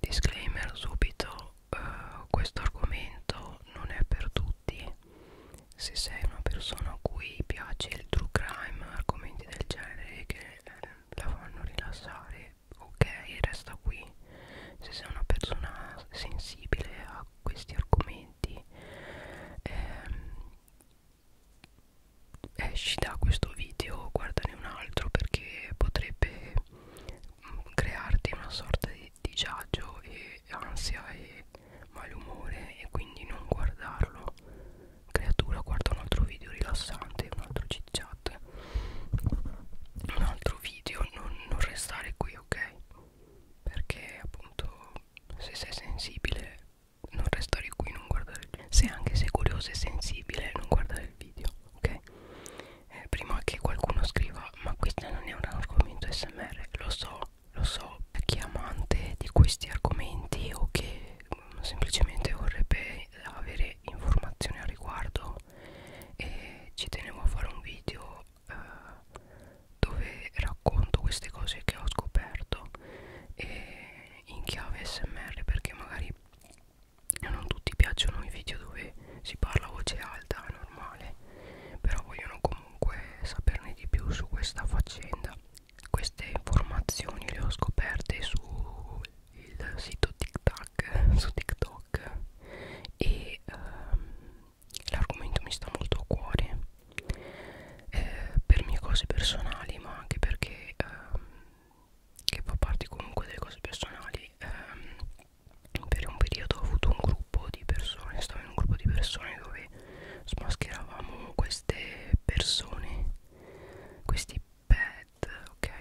Disclaimer subito, uh, questo argomento non è per tutti. Se sei una persona a cui piace il true crime, argomenti del genere che eh, la fanno rilassare, ok, resta qui. Se sei una persona sensibile a questi argomenti, ehm, esci da questo video guardane un altro perché potrebbe mm, crearti una sorta di disagio e ansia e malumore e quindi non guardarlo creatura guarda un altro video rilassante un altro chit chat un altro video non, non restare qui ok perché appunto se sei sensibile non restare qui non guardare il se anche sei curioso e sensibile non guardare il video ok eh, prima che qualcuno scriva ma questo non è un argomento smr lo so lo so per chi è amante di questi argomenti o che mh, mm, semplicemente vorrebbe avere informazioni al riguardo e ci tenevo a fare un video eh, dove racconto queste cose che ho scoperto e eh, in chiave smr perché magari a non tutti piacciono i video dove si parla a voce alta, normale, però vogliono comunque saperne di più su questa faccenda. Queste informazioni le ho scoperte sul sito TikTok, su TikTok e ehm, l'argomento mi sta molto a cuore eh, per mie cose personali ma anche perché ehm, che fa parte comunque delle cose personali ehm, per un periodo ho avuto un gruppo di persone stavo in un gruppo di persone dove smascheravamo queste persone questi pet ok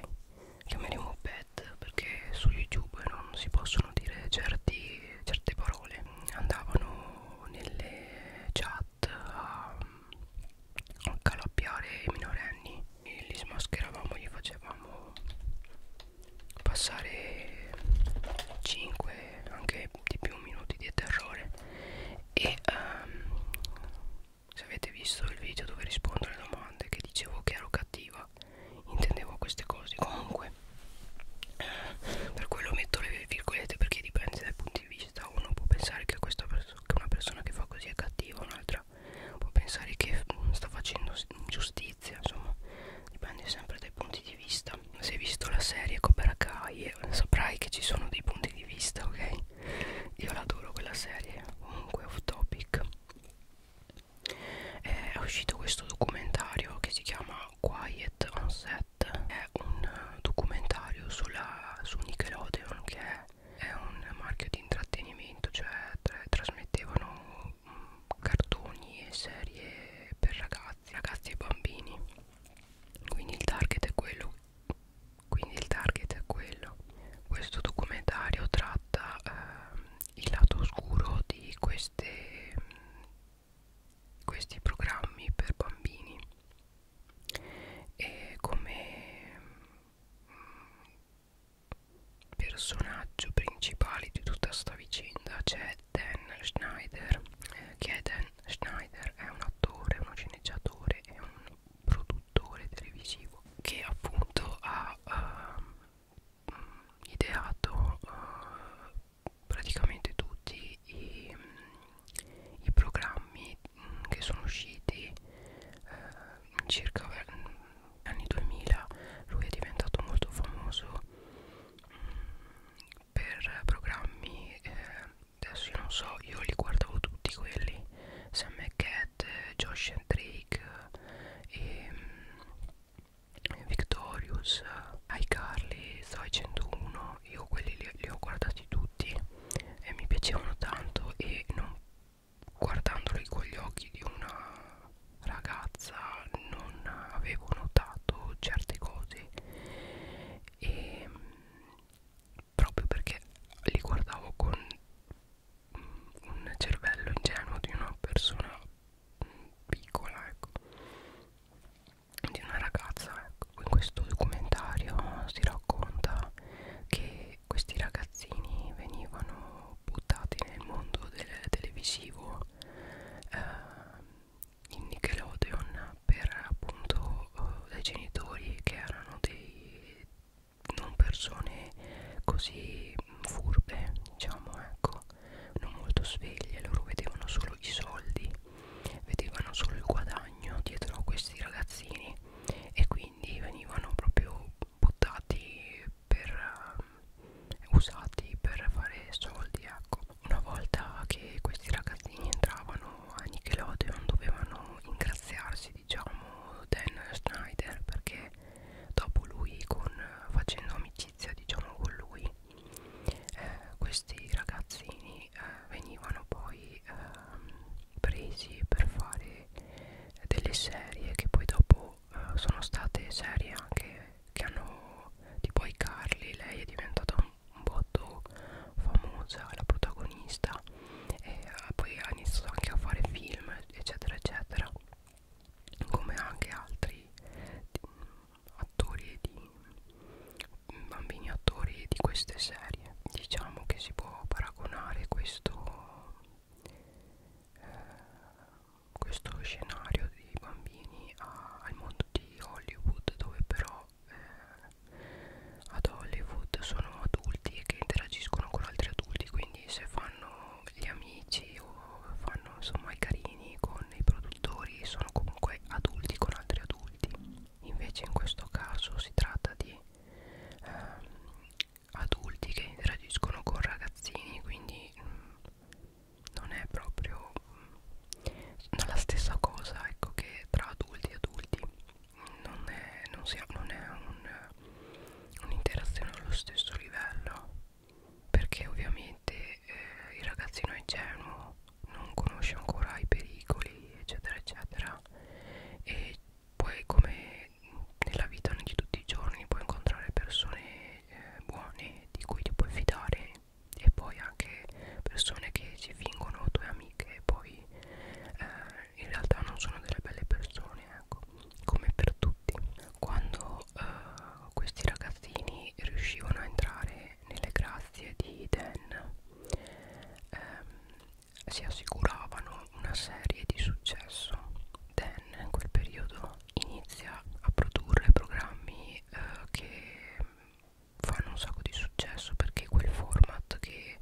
chiameremo pet perché su youtube non si possono dire certi, certe parole andavano nelle chat chat a, um, a calappiare i minorenni e li smascheravamo gli facevamo passare 5 anche di più minuti di terrore e um, se avete visto il video dove rispondo alle domande che dicevo che ero cattiva intendevo queste cose comunque eh, per quello metto le virgolette perché dipende dal punto di vista uno può pensare che questa persona senso che una persona che fa così è cattiva un'altra può pensare che mm, sta facendo giustizia insomma dipende sempre dai punti di vista se hai visto la serie Cobra Kai eh, saprai che ci sono dei punti di vista ok io l'adoro quella serie comunque off topic eh, è uscito questo documentario che si chiama Quiet on Set è un eh, documentario sulla, su Nickelodeon che è è un marchio di intrattenimento cioè tra trasmettevano mh, mm, cartoni e serie per ragazzi ragazzi e bambini quindi il target è quello quindi il target è quello questo documentario tratta eh, il lato oscuro di queste, questi programmi per bambini e come personaggio principale di tutta sta vicenda c'è Dan Schneider eh, che è Dan Schneider è un attore, uno sceneggiatore e un produttore televisivo che appunto ha uh, ideato uh, praticamente tutti i, i programmi che sono usciti eh, circa mh, mm, anni 2000 lui è diventato molto famoso mh, mm, per programmi eh, adesso io non so io li guardavo tutti quelli Sam Cat, Josh and Drake e mh, mm, Victorious iCarly, Zoe 101 io quelli li, li ho guardati tutti e mi piacevano tanto e non guardandoli con gli occhi di una ragazza non avevo notato certe cose e proprio perché li guardavo con mm, un cervello ingenuo di una persona mm, piccola ecco di una ragazza ecco in questo documentario si racconta che e questi ragazzini venivano buttati nel mondo del televisivo eh, in Nickelodeon per appunto eh, dai genitori che erano dei non persone così furbe diciamo ecco non molto sveglie loro vedevano solo i soldi vedevano solo il guadagno dietro a questi ragazzini e quindi quindi venivano proprio buttati per uh, usati per fare soldi ecco una volta che questi ragazzini entravano a Nickelodeon dovevano ingraziarsi diciamo Dan Schneider perché dopo lui con, facendo amicizia diciamo con lui eh, questi ragazzini eh, venivano poi eh, presi per fare delle serie che poi dopo uh, sono state serie anche che hanno tipo i Carly lei è diventata un, un botto famosa la protagonista e uh, poi ha iniziato anche a fare film eccetera eccetera come anche altri attori di bambini attori di queste serie terapie diciamo che si può paragonare questo eh, questo scenario di bambini a, al mondo di Hollywood dove però eh, ad Hollywood sono adulti che interagiscono con altri adulti quindi se fanno gli amici o fanno insomma i carini con i produttori sono comunque adulti con altri adulti invece in questo caso si tratta di ehm, adulti che interagiscono con ragazzini quindi mh, mm, non è proprio mh, mm, la stessa cosa ecco che tra adulti e adulti non è, non sia, non è un'interazione un allo stesso livello perché ovviamente eh, il ragazzino ingenuo non conosce ancora i pericoli eccetera eccetera e poi come nella vita di tutti i giorni puoi incontrare persone eh, buone di cui ti puoi fidare e poi anche persone che si fingono tue amiche e poi eh, in realtà non sono delle belle persone ecco come per tutti quando eh, questi ragazzini riuscivano a entrare nelle grazie di Dan ehm, si assicuravano una serie di successo. Dan in quel periodo inizia a produrre programmi eh, che fanno un sacco di successo perché quel format che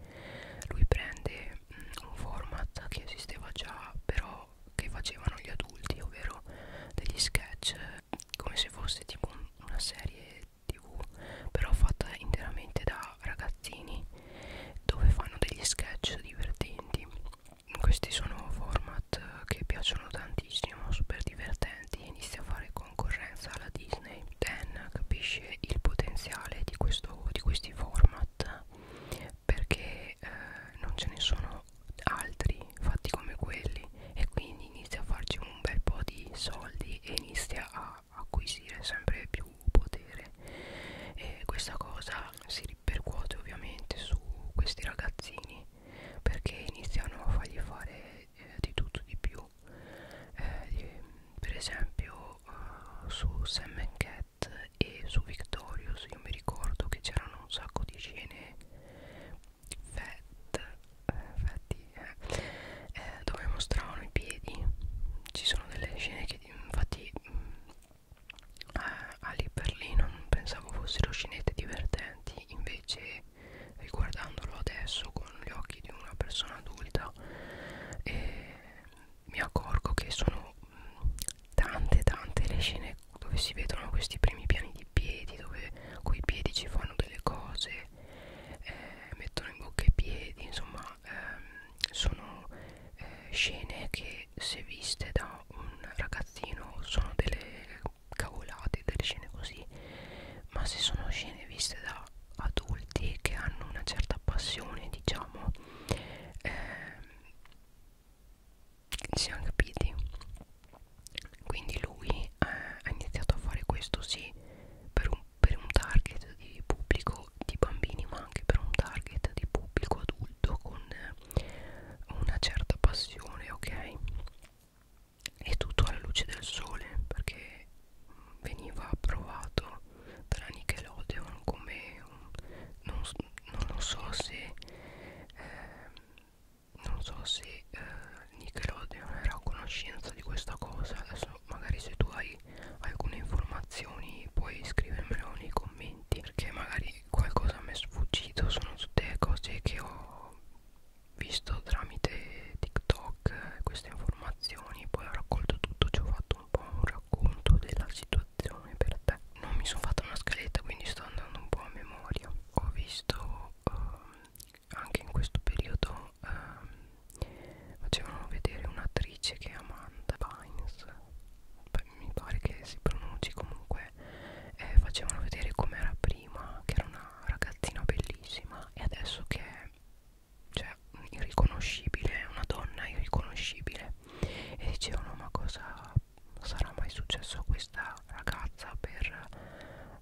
lui prende, mh, mm, un format che esisteva già però che facevano gli adulti, ovvero degli sketch come se fosse tipo un, una serie tv però fatta interamente da da ragazzini dove fanno degli sketch divertenti questi sono format eh, che piacciono tantissimo super divertenti inizia a fare concorrenza alla Disney Dan capisce il potenziale di, questo, di questi format perché eh, non ce ne sono altri fatti come quelli e quindi inizia a farci un bel po' di soldi e inizia a a acquisire sempre più potere e questa cosa si ripercuote ovviamente su questi ragazzini perché iniziano a fargli fare eh, di tutto di più eh, per esempio uh, su Sam Cat e su Victorious io mi ricordo che c'erano un sacco di scene fat, eh, fatti, eh, eh, dove mostravano i piedi ci sono delle scene che infatti eh, a lì per lì non pensavo fossero scenette divertenti invece riguardandolo adesso con gli occhi di una persona adulta eh, mi accorgo che sono mm, tante tante le scene dove si vedono questi primi piani di piedi dove coi piedi ci fanno delle cose eh, mettono in bocca i piedi insomma ma ehm, sono eh, scene che se viste da un ragazzino sono delle cavolate, delle scene così, ma se sono scene viste da adulti che hanno una certa passione, diciamo, ehm, siamo capiti. Quindi lui eh, ha iniziato a fare questo sì per un per un target di pubblico di bambini ma anche per un target di pubblico adulto con eh, una certa passione ok e tutto alla luce del sole perché veniva approvato dalla Nickelodeon come un, non, non, non so se eh, non so se eh, Nickelodeon era a conoscenza di questa cosa adesso magari se tu hai alcune informazioni puoi scrivermelo nei commenti perché magari qualcosa mi è sfuggito sono tutte cose che ho visto tramite TikTok queste informazioni poi ho raccolto tutto ci ho fatto un po' un racconto della situazione per te non mi sono fatta una scaletta quindi sto andando un po' a memoria ho visto um, anche in questo periodo um, facevano vedere un'attrice che è Amanda Bynes Beh, mi pare che si pronunci comunque eh, facevano vedere com'era prima che era una ragazzina bellissima e adesso che è cioè irriconoscibile una donna irriconoscibile e dicevano ma cosa sarà mai successo a questa ragazza per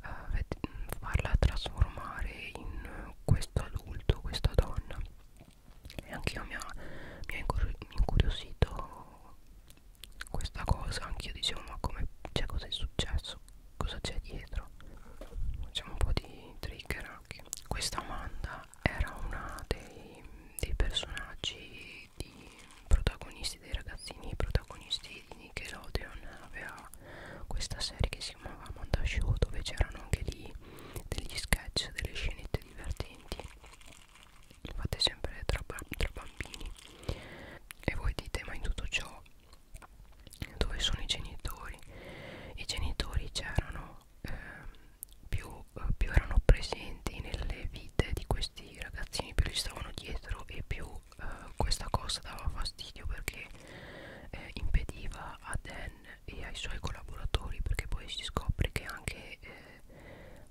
uh, farla trasformare in questo adulto questa donna e anche io mi ha, mi ha incuriosito questa cosa anche io dicevo ma come cioè, cosa è successo cosa c'è dietro facciamo un po' di trigger anche questa Amanda era una dei, dei personaggi di protagonisti dei ragazzini protagonisti di Nickelodeon aveva questa serie che si si chiamava Monda Show dove c'erano anche lì degli sketch, delle scenette divertenti fatte sempre tra, tra bambini e voi dite ma in tutto ciò dove sono i genitori? I genitori c'erano ehm, eh, più, più erano presenti nelle vite di questi ragazzini, più li stavano dietro e più eh, questa cosa dava fastidio perché eh, impediva a Dan e ai suoi collaboratori perché poi si scopre che anche eh,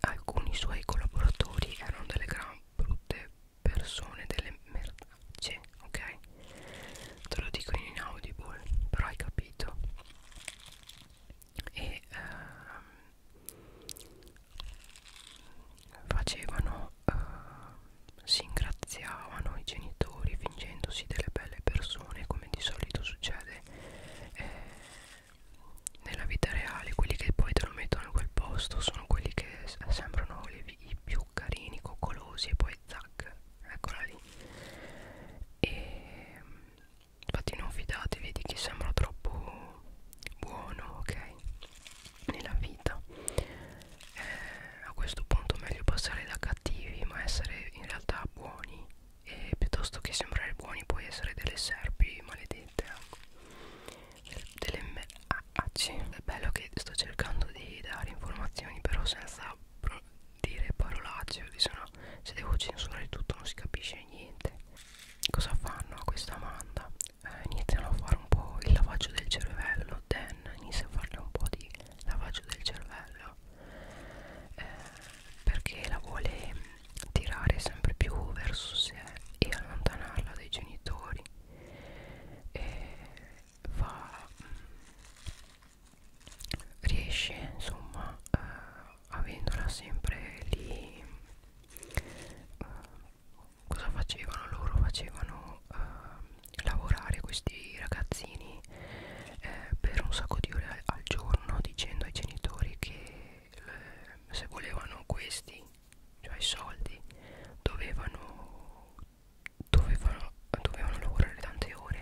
alcuni suoi collaboratori erano delle gran brutte persone, delle merdacce, ok? Te lo dico in inaudible, però hai capito. E ehm, facevano, eh, si ingraziavano i genitori fingendosi delle belle persone come di solito succede eh, nella vita reale quelli che poi te lo mettono in quel posto sono quelli che sembrano i più carini, coccolosi e poi zac, eccola lì e infatti non fidatevi di chi sembra troppo buono, ok? nella vita eh, a questo punto meglio passare da cattivi ma essere in realtà buoni e piuttosto che sembrare buoni puoi essere delle serpi maledette eh. delle, delle MAC ah, ah, è bello che sto cercando di dare informazioni però senza dire parolacce se no se devo censurare tutto non si capisce niente cosa fanno a questa Amanda? Eh, iniziano a fare un po' il lavaggio del cervello Dan inizia a farle un po' di lavaggio del cervello via eh, perché la vuole tirare sempre più verso sé e allontanarla dai genitori e fa, mm, riesce insomma eh, avendola sempre lì eh, cosa facevano loro facevano eh, lavorare questi ragazzini eh, per un sacco di ore al giorno dicendo ai genitori che le, eh, se volevano questi, cioè i soldi, dovevano, dovevano, dovevano lavorare tante ore,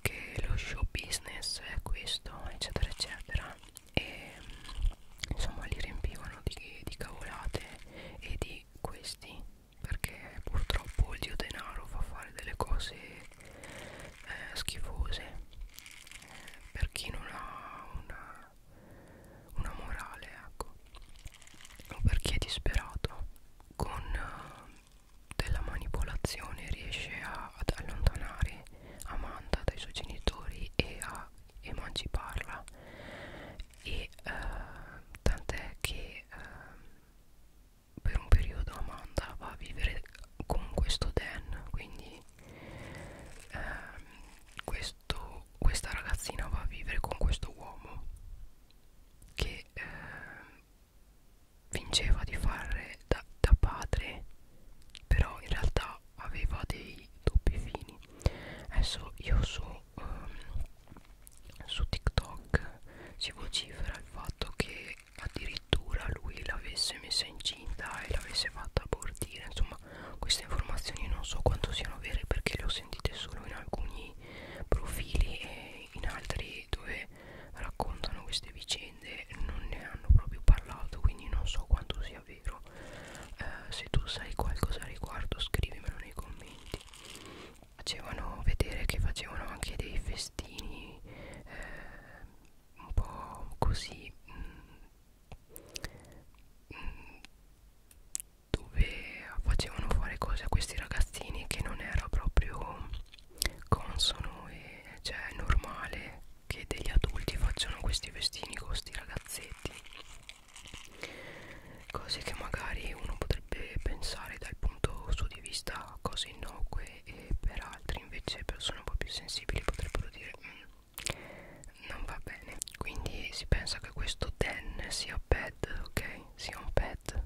che lo show business è questo, eccetera, eccetera. E insomma li riempivano di, di cavolate e di questi perché purtroppo il dio denaro fa fare delle cose eh, schifose eh, per chi non ha una, una morale ecco o per chi è disperato con uh, della manipolazione riesce a, ad allontanare Amanda dai suoi genitori e a emanciparla e uh, tant'è che uh, per un periodo Amanda va a vivere con questo Dan quindi ehm, questo, questa ragazzina va a vivere con questo uomo che ehm, fingeva di fare da, da padre però in realtà aveva dei doppi fini adesso io so um, su TikTok si vocifera il fatto che addirittura lui l'avesse messa incinta e l'avesse fatta abortire insomma queste informazioni non so quanto siano vere perché le ho sentite solo in alcuni profili e in altri dove raccontano queste vicende non ne hanno proprio parlato quindi non so quanto sia vero eh, se tu sai qualcosa al riguardo scrivimelo nei commenti facevano vedere che facevano anche dei festini eh, un po' così mh, mm, mh, dove facevano fare cose a questi ragazzini che non era proprio consono e cioè normale che degli adulti facciano questi festini con questi ragazzetti cose che magari uno potrebbe potrebbe pensare dal punto suo di vista a cose innocue e per altri invece persone un po' più sensibili potrebbero dire mm, non va bene quindi si pensa che questo den sia bad ok sia un pet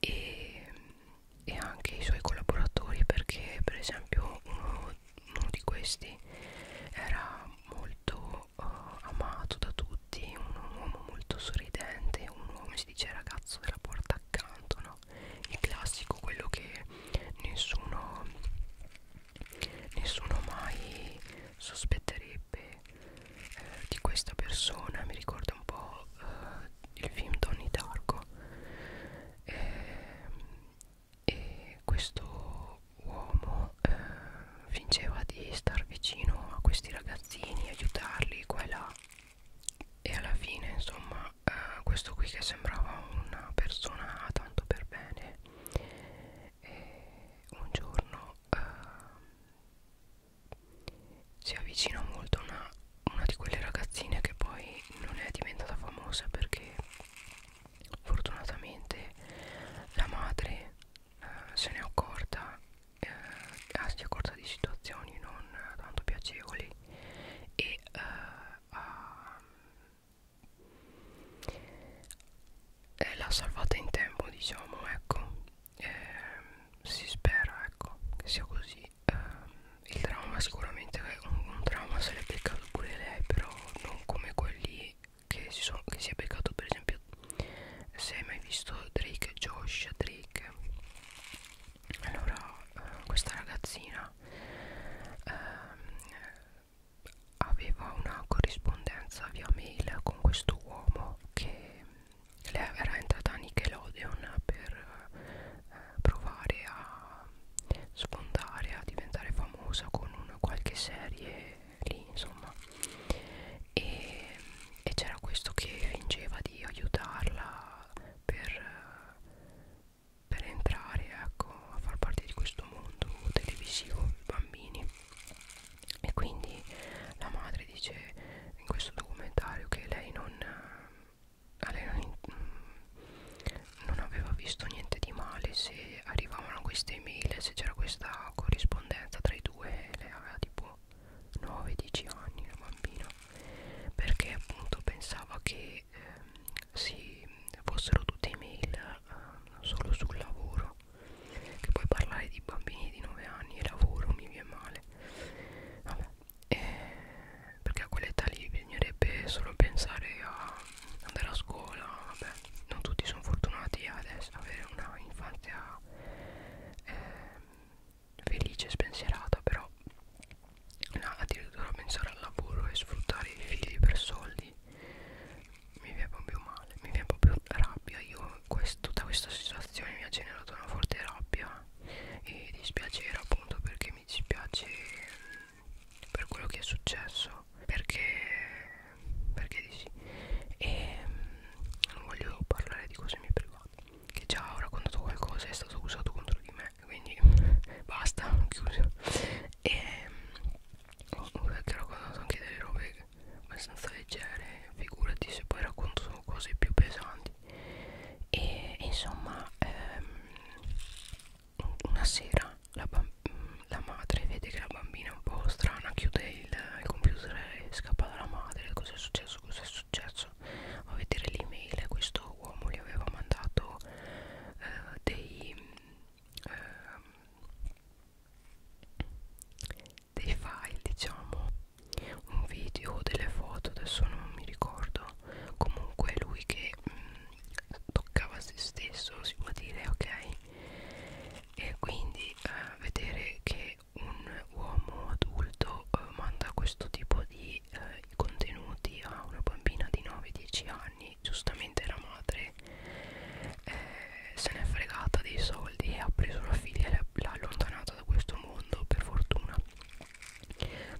e, e anche i suoi collaboratori perché per esempio uno, uno di questi era molto uh, amato da tutti un uomo molto sorridente un uomo ci dice il ragazzo della porta accanto, no? Il classico, quello che nessuno, nessuno mai sospetterebbe eh, di questa persona. Mi ricorda un po' eh, il film Donnie Darko. Eh, e questo uomo eh, fingeva di star vicino a questi ragazzini, aiutarli qua e là e alla fine insomma eh, questo qui che sembrava una persona tanto per bene e eh, un giorno eh, si avvicina molto a una, una di quelle ragazzine che poi non è diventata famosa perché fortunatamente la madre eh, se n'è accorta eh, a sia corta di situazioni non eh, tanto piacevoli e eh, a, eh, l'ha salvata in tempo diciamo ecco eh, si spera ecco che sia così eh, il trauma sicuramente un, un trauma se l'è beccato pure lei però non come quelli che si, sono, che si è beccato per esempio se hai mai visto Drake Josh Drake allora eh, questa ragazzina eh, aveva una corrispondenza via mail con questo uomo che lei era entrata a Nickelodeon per eh, provare a sfondare, a diventare famosa con una qualche serie lì insomma e, e c'era questo che fingeva di aiutarla per, per entrare ecco, a far parte di questo mondo televisivo di bambini e quindi la madre dice in questo documentario che lei non, eh, lei non, mm, non aveva visto niente di male se arrivavano queste email se c'era questa corrispondenza tra i due lei aveva tipo 9-10 anni la bambina perché appunto pensava che ehm, si fossero tutte email eh, solo sul lavoro che poi parlare di bambini di 9 anni e lavoro mi viene male Vabbè, eh, perché a quell'età lì bisognerebbe solo pensare a andare a scuola Vabbè, non tutti sono fortunati ad avere una infanzia eh, felice e spensierata però no, addirittura pensare al lavoro e sfruttare i figli per soldi mi viene proprio male mi viene proprio rabbia io questo, tutta questa situazione mi ha generato una forte rabbia e dispiacere appunto perché mi dispiace mm, per quello che è successo perché perché di sì e mm, non voglio parlare di cose mie private che già avrà condotto qualcosa è stato usato contro di me quindi basta chiuso e mm, ho raccontato anche delle robe abbastanza leggere figurati se poi racconto sono cose più pesanti e, e insomma ehm, una sera la, la madre vede che la bambina è un po' strana chiude il, il computer e scappa dalla madre cosa è successo cosa è successo faccio a vedere l'email questo uomo gli aveva mandato eh, dei eh, dei file diciamo un video delle foto adesso non mi ricordo comunque lui che mh, mm, toccava se stesso si può dire ok e quindi eh, vedere che come un uomo adulto eh, manda questo tipo di eh, contenuti a una bambina di 9-10 anni giustamente la madre eh, se n'è fregata dei soldi e ha preso la figlia e l'ha allontanata da questo mondo per fortuna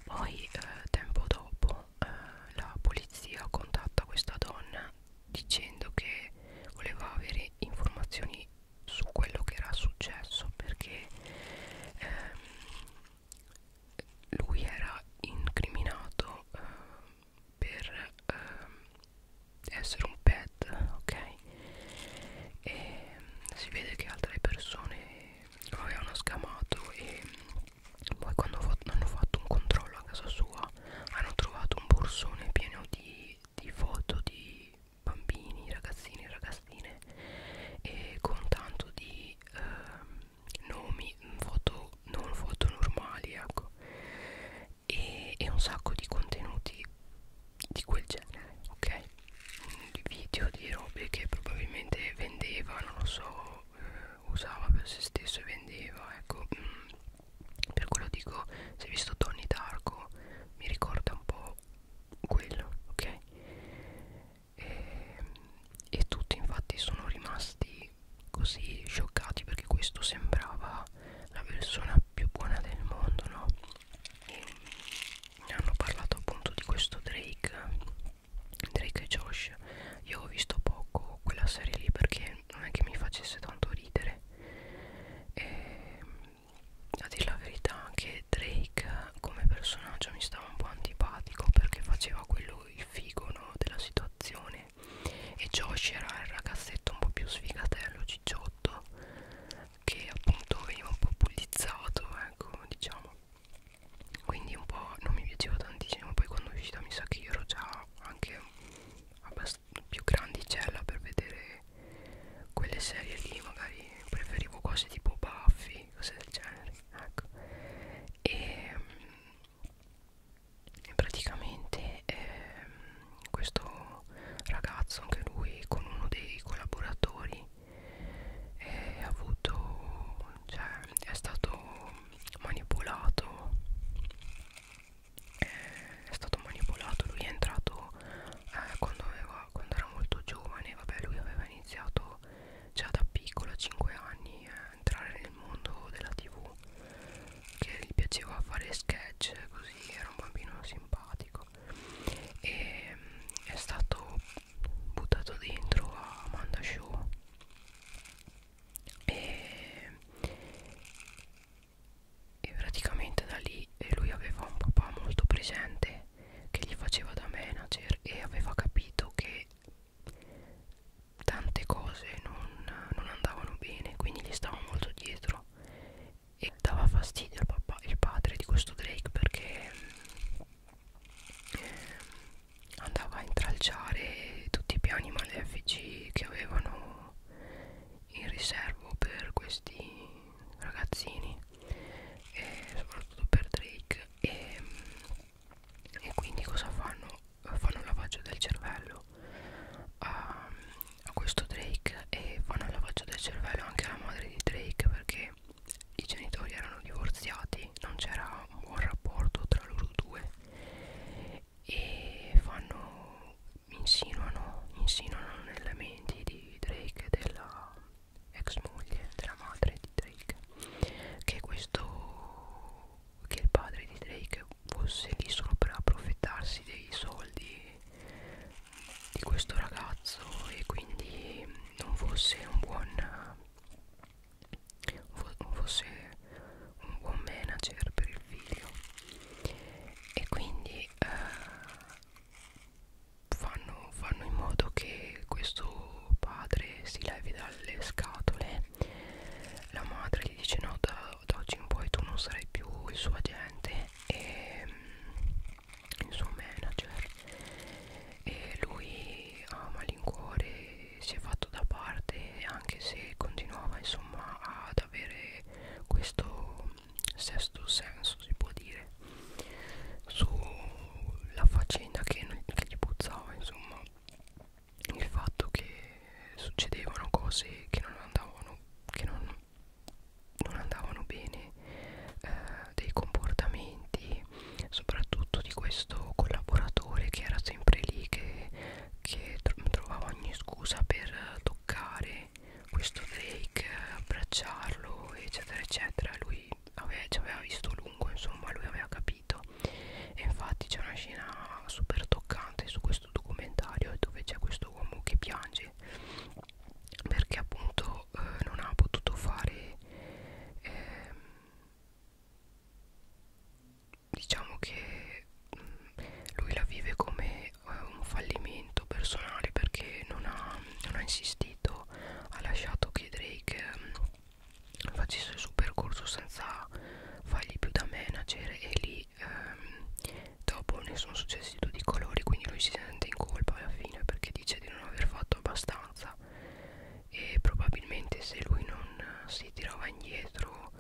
poi eh, tempo dopo eh, la polizia contatta questa donna dicendo che voleva avere informazioni su quello che era successo perché ehm, lui era incriminato eh, per eh, essere un pet ok e si vede che altre persone lo avevano scamato e poi quando hanno fatto un controllo a casa sua hanno trovato un borsone pieno di, di foto di bambini, ragazzini, ragazzine e con tanto di eh, nomi, mm, foto, non foto normali ecco e, e un sacco di contenuti di quel genere, ok? Di video, di robe che probabilmente vendeva, non lo so, eh, usava per se stesso e vendeva, ecco mm, per quello dico, se hai visto Tony Darko mi ricorda un po' quello ok e, e tutti infatti sono rimasti così scioccati perché questo sembrava la persona più buona del mondo no e ne hanno parlato appunto di questo Drake Drake e Josh io ho visto poco quella serie lì perché non è che mi facesse tanto ridere e a dire la verità anche Drake come personaggio mi stava un po' antipatico perché faceva quello il figo no, della situazione e Josh era il ragazzetto un po' più sfigatello, cicciotto che appunto veniva un po' bullizzato ecco diciamo quindi un po' non mi piaceva tantissimo poi quando è uscita mi sa che io ero già anche più grandicella per vedere quelle serie lì magari preferivo cose tipo Buffy cose del genere ecco e, mm, e praticamente eh, questo ragazzo anche lui con uno dei collaboratori è eh, avuto cioè è stato manipolato eh, è stato manipolato lui è entrato eh, quando aveva era, quando era molto giovane, vabbè lui aveva iniziato già da piccolo a 5 anni a entrare nel mondo della tv che gli piaceva fare sketch così era un bambino simpatico e mm, è stato buttato dentro a Amanda Show e, e praticamente da lì lui aveva un papà molto presente che gli faceva da manager e aveva capito che tante cose non, non andavano bene quindi gli stava molto dietro e dava fastidio al papà, il padre di questo Drake perché mm, andava a intralciare tutti i piani malefici che avevano in riservo per questi ragazzini eh, soprattutto per Drake e, e quindi cosa fanno? Fanno un lavaggio del cervello a, a questo Drake e fanno un lavaggio del cervello anche alla madre di Drake perché i genitori erano divorziati, non c'era un buon rapporto tra loro due e fanno insinuano, insinuano nelle menti di Drake della ex moglie della madre di Drake che questo che il padre di Drake fosse lì solo per approfittarsi dei soldi di questo ragazzo e quindi non fosse un buon non fosse un buon manager per il figlio e quindi eh, fanno, fanno in modo che questo padre si levi dalle scatole la madre gli dice no da, da oggi in poi tu non sarai più il suo agente e mm, il suo manager e lui a malincuore si è fatto da parte anche se continuava insomma ad avere questo sesto senso si può dire sulla faccenda che, non, che gli puzzava insomma il fatto che succedevano cose che non andavano che non, non andavano bene eh, dei comportamenti soprattutto di questo collaboratore che era sempre lì che, che trovava ogni scusa per toccare questo fake abbracciarlo eccetera eccetera lui aveva, ci aveva visto a lungo insomma lui aveva capito e infatti c'è una scena super toccante su questo documentario dove c'è questo uomo che piange perché appunto eh, non ha potuto fare ehm, diciamo che mh, mm, lui la vive come eh, un fallimento progetto personale perché non ha, non ha insistito ha lasciato che Drake um, facesse il suo percorso senza fargli più da manager e lì um, dopo ne sono successi tutti i colori quindi lui si sente in colpa alla fine perché dice di non aver fatto abbastanza e probabilmente se lui non si tirava indietro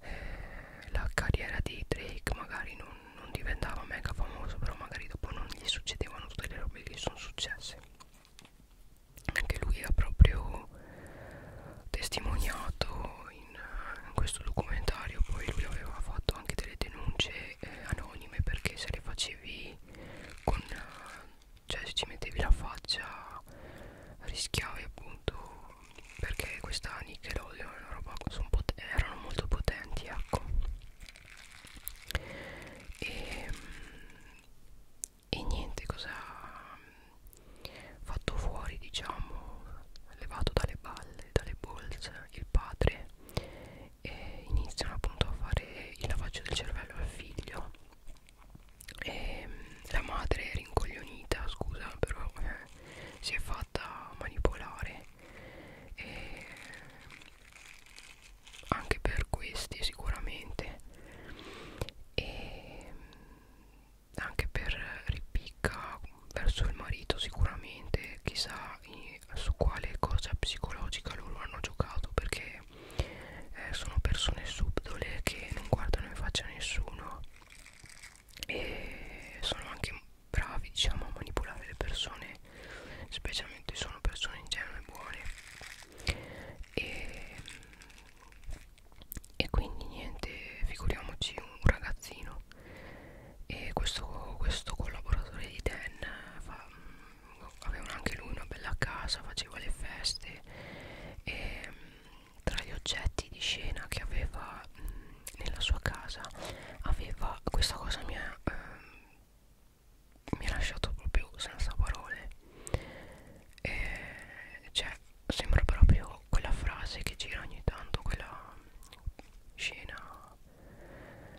eh, la carriera di Drake magari non non, non diventava mega famoso però magari dopo non gli succedevano tutte le robe che sono successe anche lui ha proprio testimoniato in, in questo documentario poi lui aveva fatto anche delle denunce eh, anonime perché se le facevi con cioè se ci mettevi la faccia rischiavi appunto perché questa Nickelodeon roba, erano molto potenti ecco e, e niente cosa fatto fuori diciamo levato dalle balle dalle bolse il padre e iniziano appunto a fare il lavaggio del cervello al figlio e la madre è rincoglionita scusa però eh, si è fatta manipolare e anche per questi sicuramente e anche per ripicca verso il marito sicuramente chissà su quale cosa psicologica loro hanno giocato perché eh, sono persone subdole che non guardano in faccia a nessuno e sono anche bravi diciamo a manipolare le persone specialmente sono persone in genere buone e, e quindi niente figuriamoci un ragazzino e questo, questo collaboratore di Dan fa, aveva anche lui una bella casa faceva le feste e tra gli oggetti di scena che aveva mh, mm, nella sua casa aveva questa cosa mia eh, mi ha lasciato proprio senza parole e cioè sembra proprio quella frase che gira ogni tanto quella scena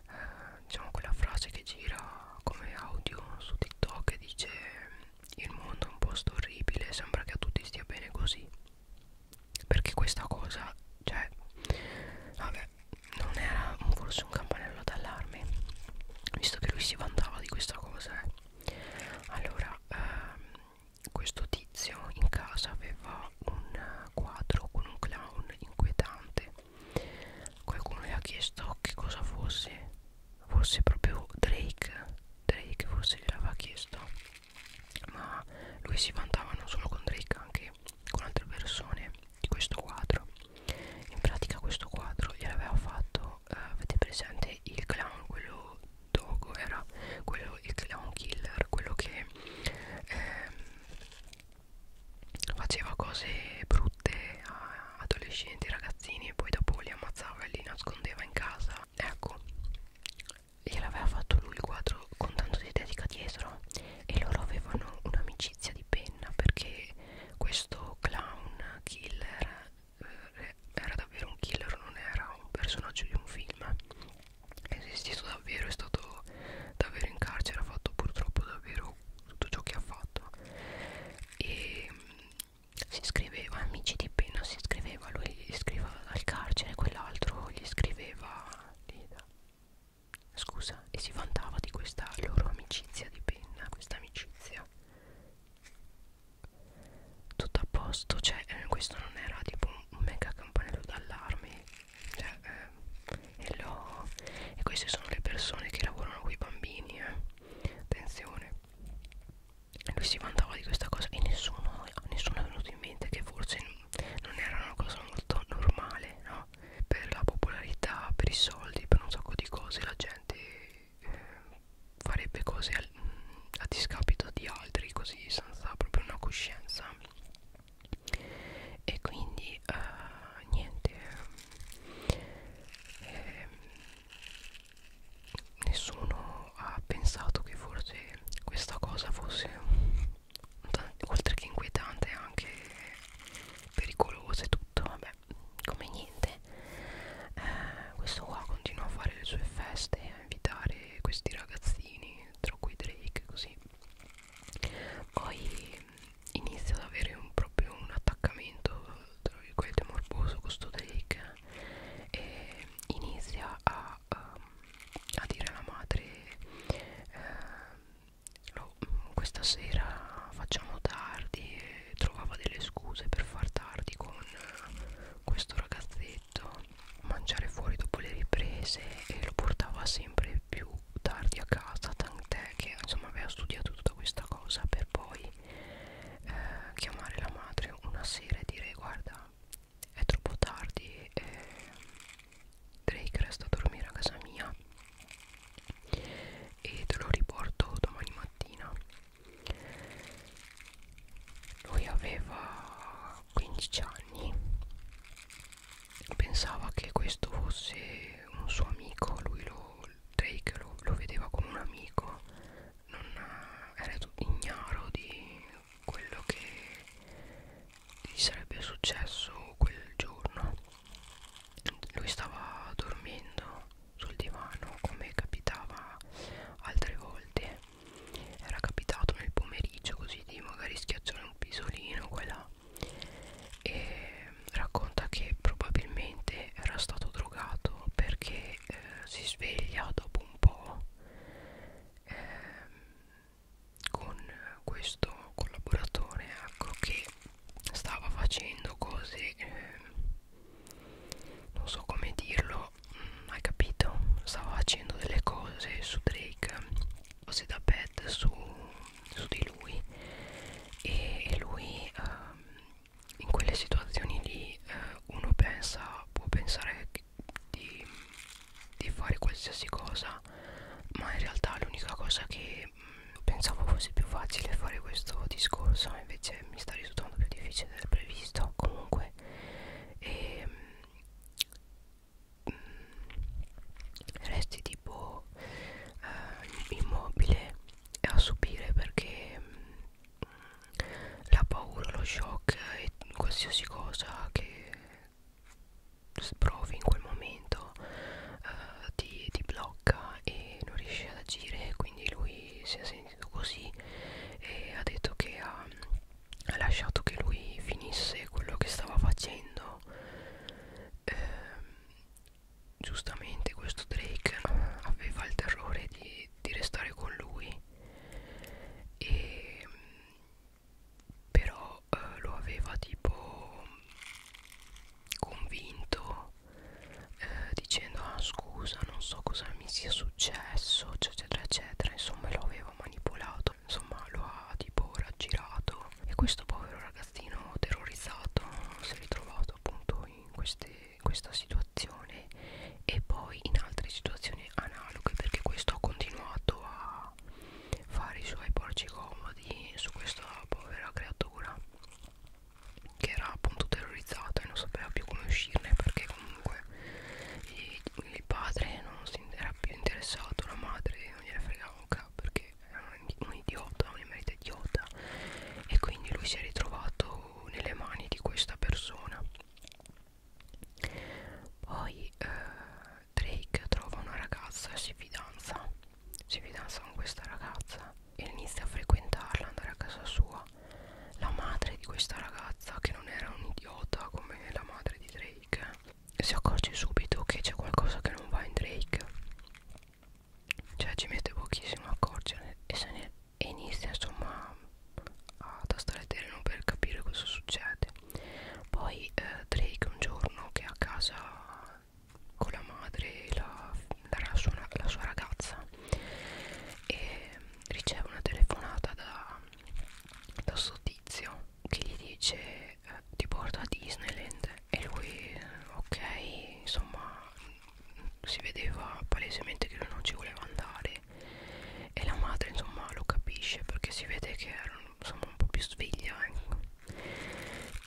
eh, diciamo quella frase che gira come audio su TikTok che dice il mondo è un posto orribile sembra che a tutti stia bene così perché questa cosa cioè vabbè non era forse un campanello d'allarme visto che lui si vantava di questa cosa eh. allora ehm, questo tizio in casa aveva un quadro con un clown inquietante qualcuno gli ha chiesto che cosa fosse forse proprio Drake Drake forse gliel'aveva chiesto ma lui si vantava non solo con Drake anche con altre persone di questo quadro in pratica questo quadro gliel'aveva fatto eh, avete presente il clown quello Dogo era quello il clown killer quello che eh, faceva cose brutte a adolescenti ragazzini e poi dopo li ammazzava e li nascondeva in casa ecco gliel'aveva fatto lui il quadro con tanto di dedica dietro e loro avevano un'amicizia di penna perché questo clown killer eh, era davvero un killer, non era un personaggio di un film è esistito davvero, è stato davvero in carcere, ha fatto purtroppo davvero tutto ciò che ha fatto e mm, si scriveva amici di penna si scriveva lui gli scriveva dal carcere quell'altro gli scriveva lì da Scusa, e si vantava di questa loro amicizia di penna, questa amicizia. Tutto a posto, cioè eh, questo non era tipo un mega campanello d'allarme. Cioè, eh, e, lo... e queste sono le persone che lavorano con i bambini, eh. Attenzione. E lui si vantava di questa cosa e nessuno, nessuno è venuto in mente che forse non era una cosa molto normale, no? per la popolarità, per i soldi, per un sacco di cose la gente eh, farebbe cose al, a discapito di altri così senza proprio una coscienza e quindi eh, niente eh, nessuno ha pensato che forse questa cosa fosse oltre che inquietante anche pericoloso e tutto vabbè come niente eh, questo qua continua a fare le sue feste a invitare questi ragazzini tra cui Drake così poi inizia ad avere un, proprio un attaccamento tra virgolette morboso con sto Drake eh, e inizia a, a, um, a dire alla madre eh, lo, questa sera facciamo tardi e trovava delle scuse per far tardi con questo ragazzetto mangiare fuori dopo le riprese e lo portava sempre più tardi a casa tant'è che insomma aveva studiato tutta questa cosa per poi eh, chiamare la madre una sera e dire guarda è troppo tardi eh, Drake resta a dormire a casa mia e te lo riporto domani mattina lui aveva 15 anni pensava che questo fosse un suo amico lui lo, Drake lo, lo vedeva come un amico non eh, era ignaro di quello che gli sarebbe successo quel giorno lui stava dormendo sul divano come capitava altre volte era capitato nel pomeriggio così di magari schiacciare un pisolino qua e là e racconta che probabilmente era stato drogato perché eh, si sveglia dopo un po' eh, con questo collaboratore ecco che stava facendo cose eh, non so come dirlo mh, mm, hai capito stava facendo delle cose su Drake cose da pet su, su di lui e, e lui ehm, in quelle situazioni lì eh, uno pensa può pensare di, di fare qualsiasi cosa ma in realtà l'unica cosa che perché mh, pensavo fosse più facile fare questo discorso invece mi sta risultando più difficile del previsto comunque e, ehm, mh, mm, resti tipo eh, immobile a subire perché mh, mm, la paura, lo shock e qualsiasi cosa che provi in quel momento uh, ti, ti blocca e non riesci ad agire quindi lui si è sentito così e ha detto che ha, ha lasciato che lui finisse quello che stava facendo eh, giustamente questo Drake aveva il terrore di, di restare con lui e però però eh, lo aveva tipo convinto eh, dicendo ah scusa non so cosa mi sia successo eccetera eccetera insomma lo aveva manipolato insomma lo ha tipo raggirato e questo povero ragazzino terrorizzato si è ritrovato appunto in, queste, in questa situazione e poi in altre situazioni analoghe perché questo ha continuato a a fare i suoi porci comodi su questa povera creatura che era appunto terrorizzata e non sapeva più come uscirne perché comunque il padre non si era più interessato, la madre non gliela fregava un capo perché era un, un idiota, un emerita idiota e quindi lui si è ritrovato nelle mani di questa persona poi eh, Drake trova una ragazza, si fidanza, si fidanza con questa ragazza e inizia a frequentarla, andare a casa sua. La madre di questa ragazza, che non era un idiota come la madre di Drake, si accorge subito che c'è qualcosa che non va in Drake. Cioè ci mette pochissimo a accorgere e, se ne, e inizia insomma a tastare tele non per capire cosa succede. Poi eh, Drake un giorno che è a casa con la madre e la, la, sua, la sua ragazza e riceve una telefonata da, da sto tizio che gli dice eh, ti porto a Disneyland e lui ok insomma si vedeva palesemente che lui non ci voleva andare e la madre insomma lo capisce perché si vede che era insomma un po' più sveglia ecco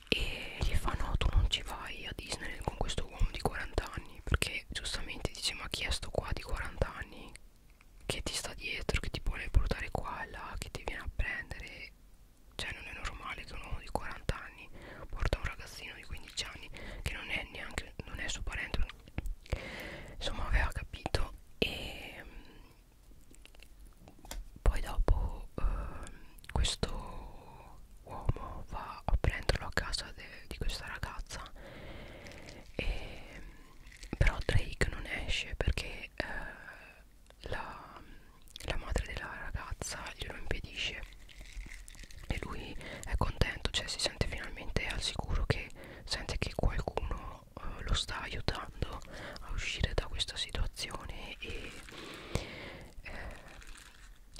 e gli fa no tu non ci vai a Disney con questo uomo di 40 anni perché giustamente dice ma chi è sto qua di 40 anni che ti sta dietro che ti vuole portare qua e là che ti viene a prendere cioè non è normale che un uomo di 40 anni porta un ragazzino di 15 anni che non è neanche non è suo parente insomma aveva capito e poi dopo eh, questo uomo va a prenderlo a casa de, di questa ragazza e, però Drake non esce perché eh, la, la madre della ragazza glielo impedisce e lui è contento cioè si sente finalmente al sicuro che sente che qualcuno eh, lo sta aiutando a uscire da questa situazione e eh,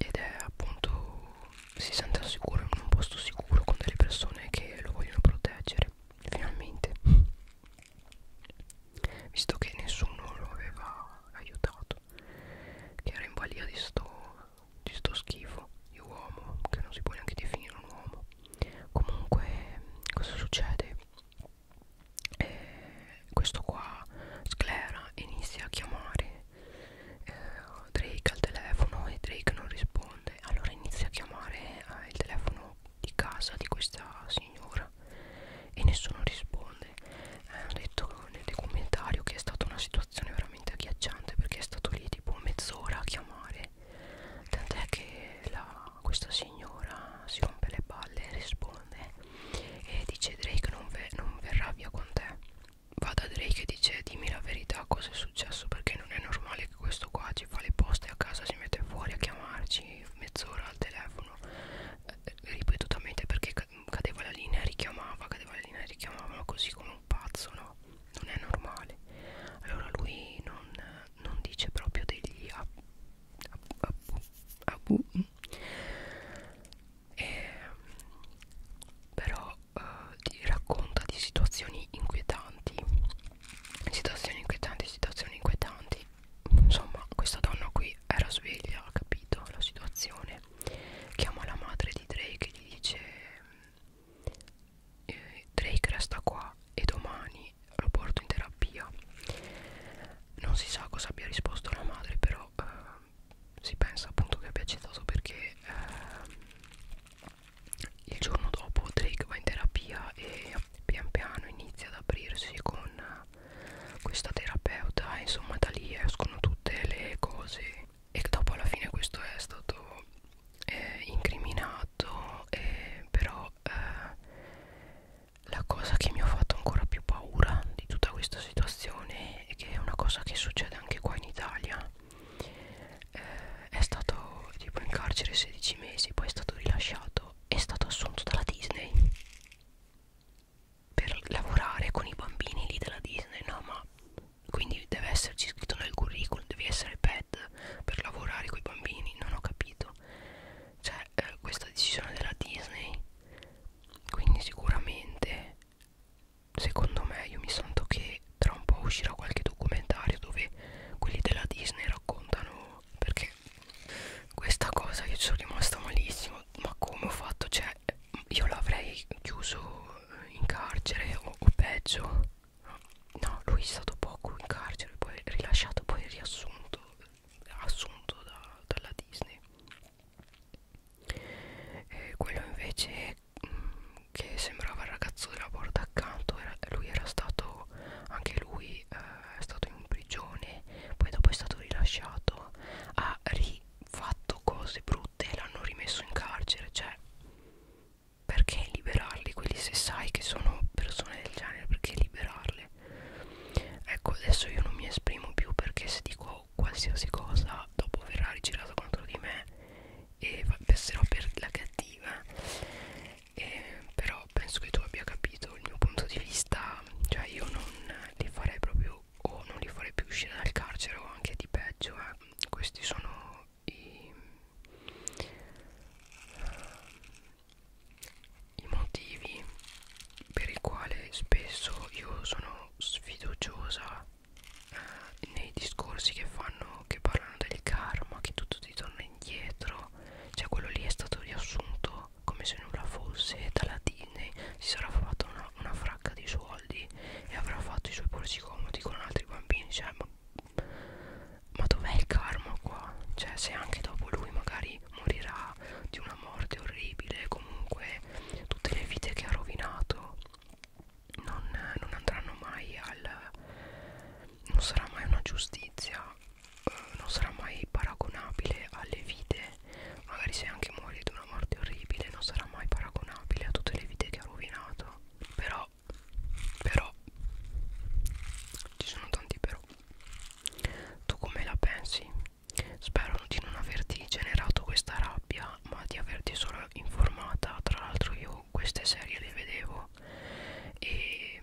ed è appunto si sente al sicuro in un posto sicuro con delle persone che lo vogliono proteggere finalmente visto che nessuno lo aveva aiutato che era in balia di sto, di sto schifo di uomo che non si può neanche definire un uomo comunque cosa succede eh, questo qua sclera inizia a chiamare eh, Drake al telefono e Drake non risponde allora inizia a chiamare eh, il telefono di casa di questa signora e nessuno risponde eh, hanno detto nel documentario che è stata una situazione veramente agghiacciante perché è stato lì tipo mezz'ora a chiamare tant'è che la questa signora si rompe le palle e risponde e dice Drake non, ve non verrà via con te va da Drake e dice dimmi la verità cosa è successo perché non è normale che questo qua ci fa le poste a casa si mette fuori a chiamarci mezz'ora al telefono eh, ripetutamente perché cadeva la linea e richiamava cadeva la linea e richiamava così come un pazzo no non è normale allora lui non, non dice proprio degli abu, abu, abu. Mm. E, ehm, però eh, ti racconta di situazioni inquietanti situazioni inquietanti situazioni inquietanti insomma questa donna qui era sveglia ha capito la situazione chiama la madre di Drake e gli dice eh, Drake resta qua e domani lo porto in terapia non si sa cosa abbia risposto la madre però eh, si pensa appunto che abbia accettato perché eh, il giorno dopo Drake va in terapia e pian piano inizia ad aprirsi con questa terapeuta insomma da lì escono tutte le cose e dopo alla fine questo è stato eh, incriminato eh, però eh, la cosa che mi ha fatto ancora più paura di tutta questa situazione, che è una cosa che succede anche qua in Italia, eh, è stato tipo in carcere 16 mesi, poi è stato rilasciato, è stato assunto dalla Disney per lavorare con i bambini lì della Disney, no ma quindi deve esserci scritto nel curriculum, devi essere pet per lavorare con i bambini, non ho capito. Cioè eh, questa decisione della Disney quindi sicuramente secondo me io mi sento che tra un po' uscirà qualche documentario dove quelli della Disney raccontano perché questa cosa io ci sono rimasta malissimo ma come ho fatto cioè io l'avrei chiuso in carcere o, o peggio no lui è stato poco in carcere poi rilasciato poi riassunto assunto da, dalla Disney e quello invece mh, mm, che sembrava il ragazzo della porta accanto era, lui era stato anche lui eh, è stato in prigione poi dopo è stato rilasciato ha rifatto cose brutte e l'hanno rimesso in carcere cioè perché liberarli quelli se sai che sono persone del genere perché liberarle ecco adesso io non mi esprimo più perché se dico qualsiasi cosa dopo verrà rigirata contro di me e passerò per la cattiva e, però penso che tu abbia capito il mio punto di vista cioè io non li farei proprio o non li farei più uscire dal carcere o anche di peggio eh. questi sono i i motivi per i quali spesso io sono sfiduciosa eh, nei discorsi che fanno che parlano del karma che tutto ti torna indietro cioè quello lì è stato riassunto come se nulla fosse dalla Disney si sarà fatta una, una fracca di soldi e avrà fatto i suoi polsi comodi con altri bambini cioè ma, ma dov'è il karma qua cioè se anche dopo lui magari morirà di una morte orribile comunque tutte le vite che ha rovinato non, non andranno mai al non sarà mai una giustizia eh, non sarà mai paragonabile alle vite magari se anche muore di una morte orribile non sarà mai paragonabile a tutte le vite che ha rovinato però però ci sono tanti però tu come la pensi Spero di non averti generato questa rabbia, ma di averti solo informata. Tra l'altro io queste serie le vedevo e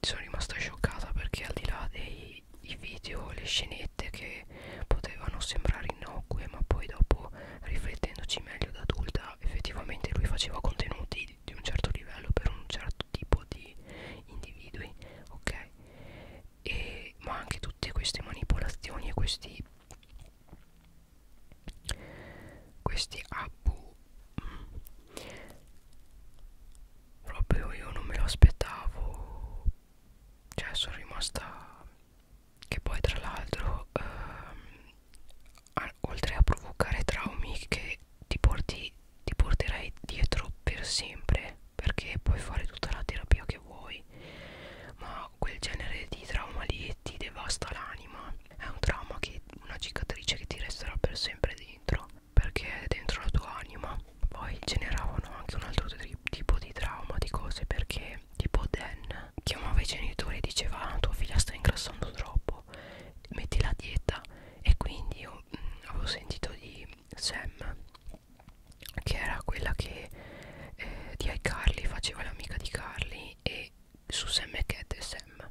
sono rimasta scioccata perché al di là dei video, le scenette che potevano sembrare innocue, ma poi dopo riflettendoci meglio da adulta, effettivamente lui faceva contenuti di un certo livello per un certo tipo di individui ok e, ma anche tutte queste manipolazioni e questi questi abu mm, proprio io non me lo aspettavo cioè sono rimasta che poi tra l'altro ehm, oltre a provocare traumi che ti porti ti porterai dietro per sempre perché puoi fare tutta la terapia che vuoi ma quel genere di trauma lì ti devasta l'anima è un trauma che una cicatrice che ti resterà per sempre dentro perché è dentro la tua anima poi generavano anche un altro tipo di trauma di cose perché tipo Dan chiamava i genitori e diceva ah, tua figlia sta ingrassando troppo metti la dieta e quindi io mh, mm, avevo sentito di Sam che era quella che eh, di iCarly faceva l'amica di Carly e su Sam e Cat e Sam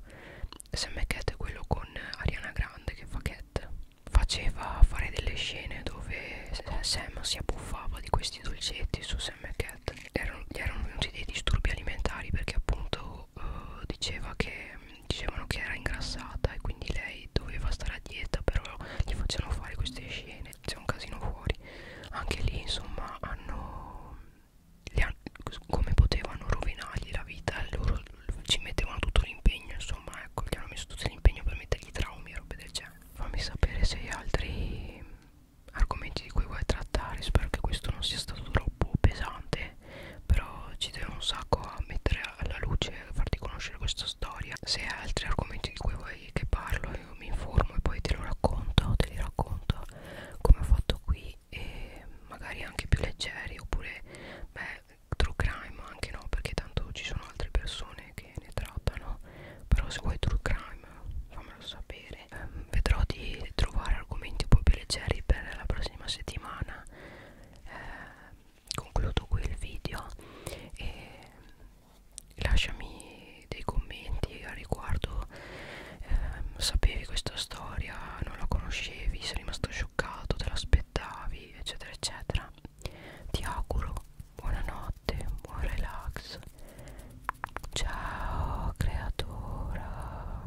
Sam e Cat è quello con Ariana Grande che fa Cat faceva fare delle scene dove eh, Sam si abbuffava di questi dolcetti su Sam e Cat erano, gli erano venuti dei disturbi alimentari perché appunto eh, diceva che dicevano che era ingrassata e quindi lei doveva stare a dieta però gli facevano fare queste scene c'è un casino fuori anche lì insomma hanno, han come potevano rovinargli la vita loro ci mettevano tutto l'impegno insomma ecco gli hanno messo tutto l'impegno per mettergli traumi e robe del genere fammi sapere se hai altri argomenti di cui vuoi trattare spero che questo non sia stato troppo pesante però ci deve un sacco a mettere alla luce a farti conoscere questa storia se hai altri argomenti di cui vuoi che parlo io mi informo e poi te lo racconto te li racconto come ho fatto qui e magari anche più leggeri oppure beh true crime anche no perché tanto ci sono altre persone che ne trattano però se vuoi true crime fammelo sapere ehm, vedrò di trovare argomenti un po' più leggeri per la prossima settimana eh, concludo qui il video e lasciami dei commenti al riguardo eh, sapevi questa storia non la conoscevi sei rimasto scioccato te l'aspettavi eccetera eccetera ti auguro buonanotte buon relax ciao creatura